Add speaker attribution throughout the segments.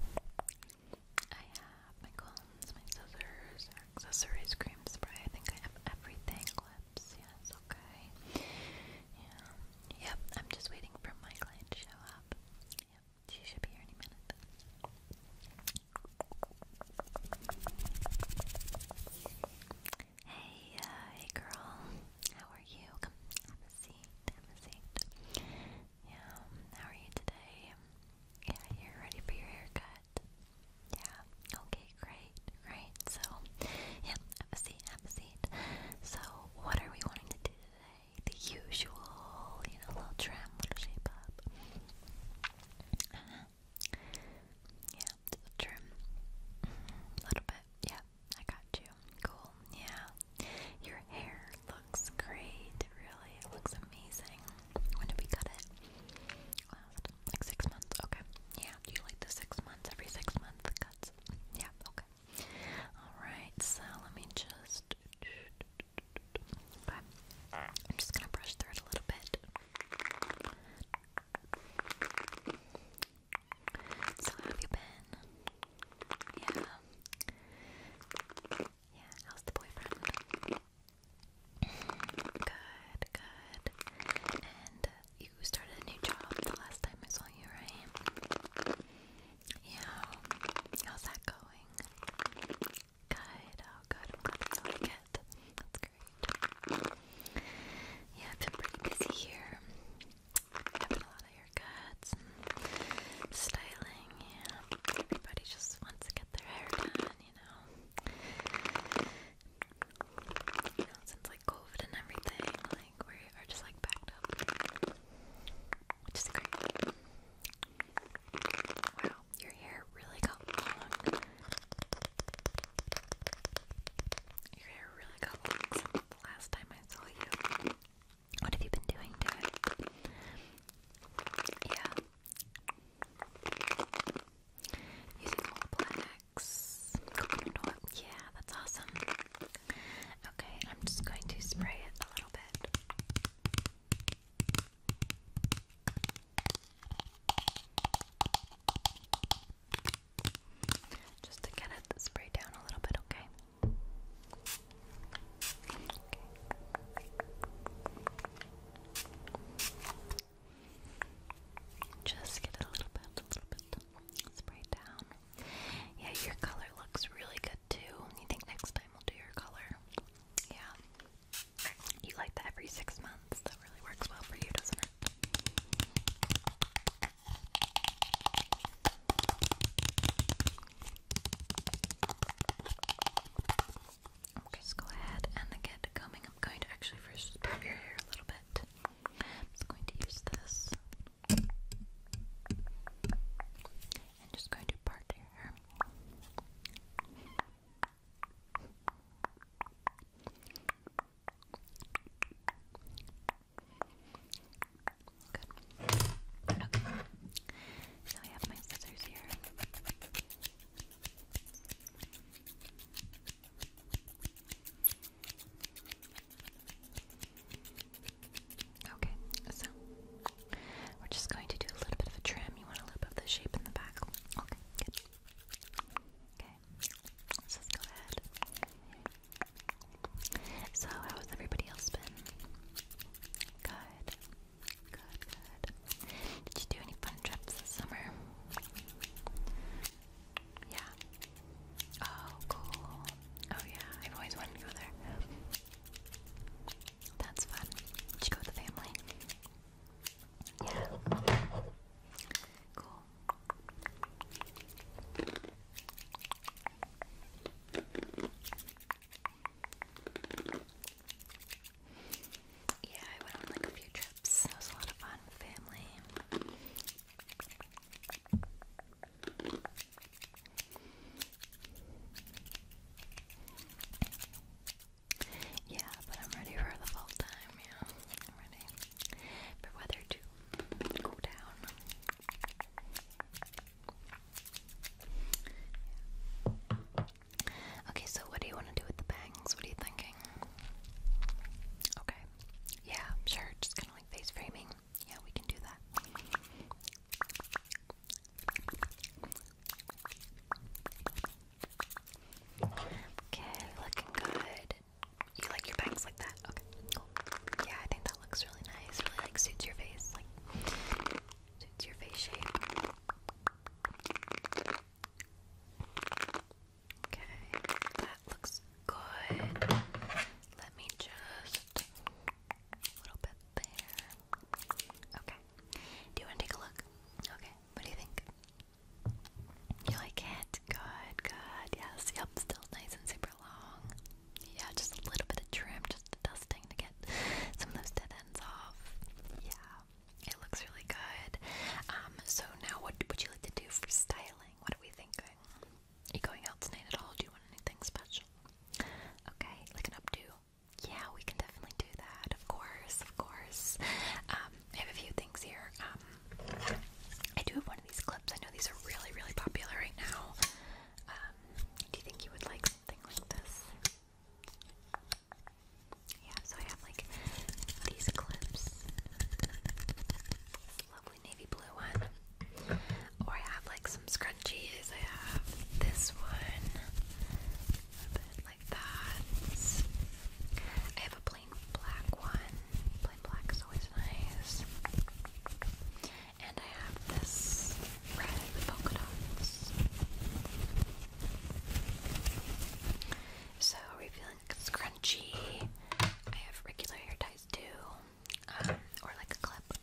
Speaker 1: I have my combs, my scissors, accessories, cream spray. I think I have everything. Clips, yes, okay. Yeah. Yep, I'm just waiting for my client to show up. Yep, she should be here any minute. Hey, uh, hey girl. How are you? Come have a yeah, how are you today? Yeah, you're ready for your haircut. Yeah, okay, great, right. So, yeah, have a seat, have a seat. So, what are we wanting to do today? The usual, you know, little trim, little shape up. Uh -huh. Yeah, little trim. Mm-hmm. A little bit, yeah, I got you cool. Yeah. Your hair looks great, really. It looks amazing. When did we cut it? Last like six months. Okay. Yeah. Do you like the six months? Every six months cuts. Yeah, okay. Alright, so let me just okay. I'm just gonna brush through it a little bit. So have you been? Yeah. Yeah, how's the boyfriend? Good, good. And uh, you started a new job the last time I saw you, right? Yeah. How's that going? Good, oh good. I'm glad you like it. That's great. Yeah, I've been pretty busy here. I've been a lot of haircuts and styling, yeah. Everybody just wants to get their hair done, you know. You know, since like COVID and everything, like we are just like backed up. Which is great. Wow, your hair really got long. Your hair really got long since the last time I saw you. What have you been doing to Yeah. Using Olaplex. Coconut Yeah, that's awesome. Okay, I'm just going to spray it a little bit. Just to get it sprayed down a little bit, okay? okay. Just get it a little bit, a little bit sprayed down. Yeah, your color looks really good too. You think next time we'll do your color? Yeah. You like that every six months. That really works well for you, doesn't it? Just go ahead and get coming. I'm going to actually first prep your hair a little bit. I'm just going to use this. And just going to part your hair. Good. So I have my scissors here. Okay, so we're just going to do a little bit of a trim. You want a little bit of the shape in the back. Okay, good. Okay, just go ahead so, how has everybody else been? Good. Good, good. Did you do any fun trips this summer? Yeah. Oh, cool. Oh, yeah. I've always wanted to go there. That's fun. Did you go with the family? Yeah. Cool. Yeah, I went on like a few trips. It was a lot of fun family. Yeah, but I'm ready for the fall time, yeah. I'm ready for weather to cool down. Okay, so what do you want to do with the bangs? What are you thinking? Okay. Yeah, sure. Just kind of like face framing. Yeah, we can do that. Okay, looking good. You like your bangs like that? Okay, Yeah, I think that looks really nice. Really like suits your face. Like suits your face shape. Okay, that looks good. Let me just a little bit there. Okay. Do you want to take a look? Okay. What do you think? You like it? Good, good. Yes, yep, still nice and super long. Yeah, just a little bit of trim, just the dusting to get some of those dead ends off. Yeah, it looks really good. Um, so now what would you like to do for styling? What are we thinking? Are you going out tonight at all? Do you want anything special? Okay, like an updo? Yeah, we can definitely do that. Of course, of course. Um, I have a few things here. Um, I do have one of these clips. I know these are really, really popular right now. Um, do you think you would like something like this? Yeah, so I have like these clips. Lovely navy blue one. Or I have like some scrunchies. I have this one. I have a plain black one. Plain black is always nice. And I have this red polka dots. So are we feeling scrunchy? I have regular hair ties too. Um, or like a clip.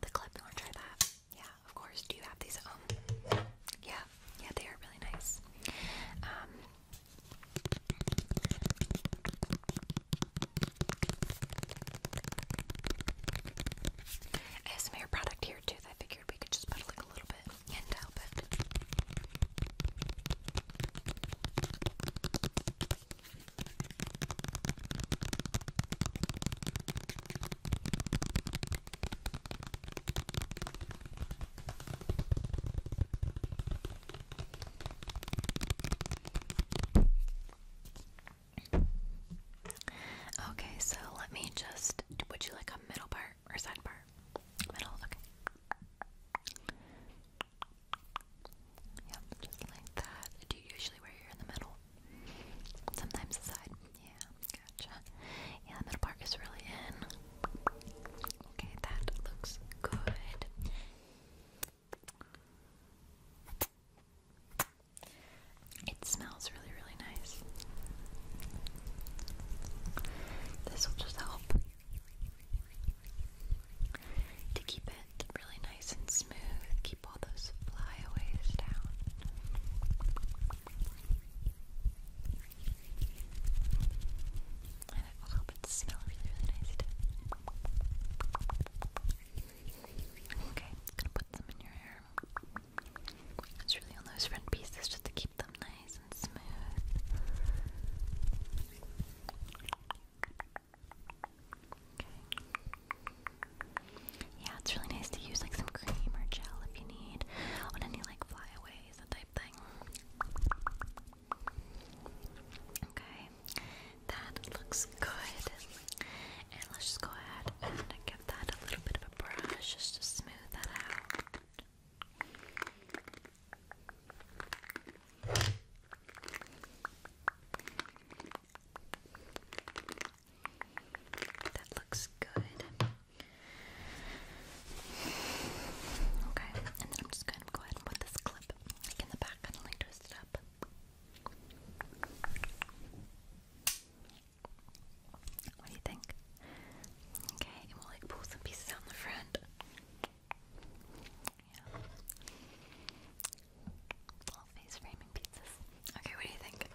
Speaker 1: The clip, you want try that? Yeah, of course. Do you have these Oh, Yeah, yeah, they are really nice. Um, I hair product here too I figured we could just put like a little bit and help it. Okay, so let me just. Would you like a middle part or side part? Middle, okay. Yep, just like that. Do you usually wear your in the middle? Sometimes the side. Yeah, gotcha. Yeah, the part is really in. Okay, that looks good. It smells really, really nice. This will just help to keep it really nice and smooth, keep all those flyaways down. And it it smell really, really nice too. Okay, I'm gonna put some in your hair. It's really on those front pieces just to keep them nice and smooth. Okay. Yeah, it's really nice to use like some cream or gel if you need on any like flyaways, type thing. Okay, that looks good. And let's just go ahead and give that a little bit of a brush just to smooth that out. That looks good. Okay, and then I'm just going to go ahead and put this clip in the back and like twist it up. What do you think? Okay, and we'll like pull some pieces out the front. Yeah. Little face framing pizzas. Okay, what do you think?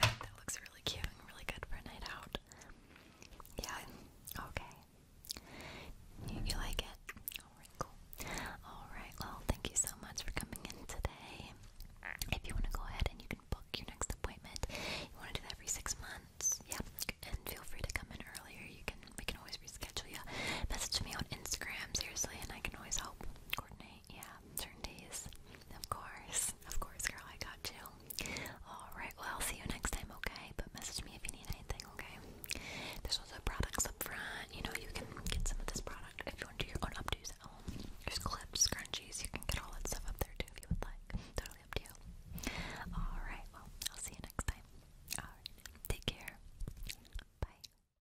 Speaker 1: that looks really cute and really good for a night out. Yeah, okay. you like it? Alright, cool. Alright, well, thank you so much for coming in today. If you want to go ahead and you can book your next appointment, you want to do that every six months. Yeah, and feel free to come in earlier. You can we can always reschedule you. Message me on Instagram, seriously, and I can always help coordinate yeah, certain days. Of course, of course, girl, I got you. Alright, well, I'll see you next time, okay? But message me if you need anything, okay? There's also products up front. You know, you can get some of this product if you want to do your own updos There's clips, scrunchies, you can get all that stuff up there too if you would like. Totally up to you. Alright, well, I'll see you next time. Alright, take care. Bye.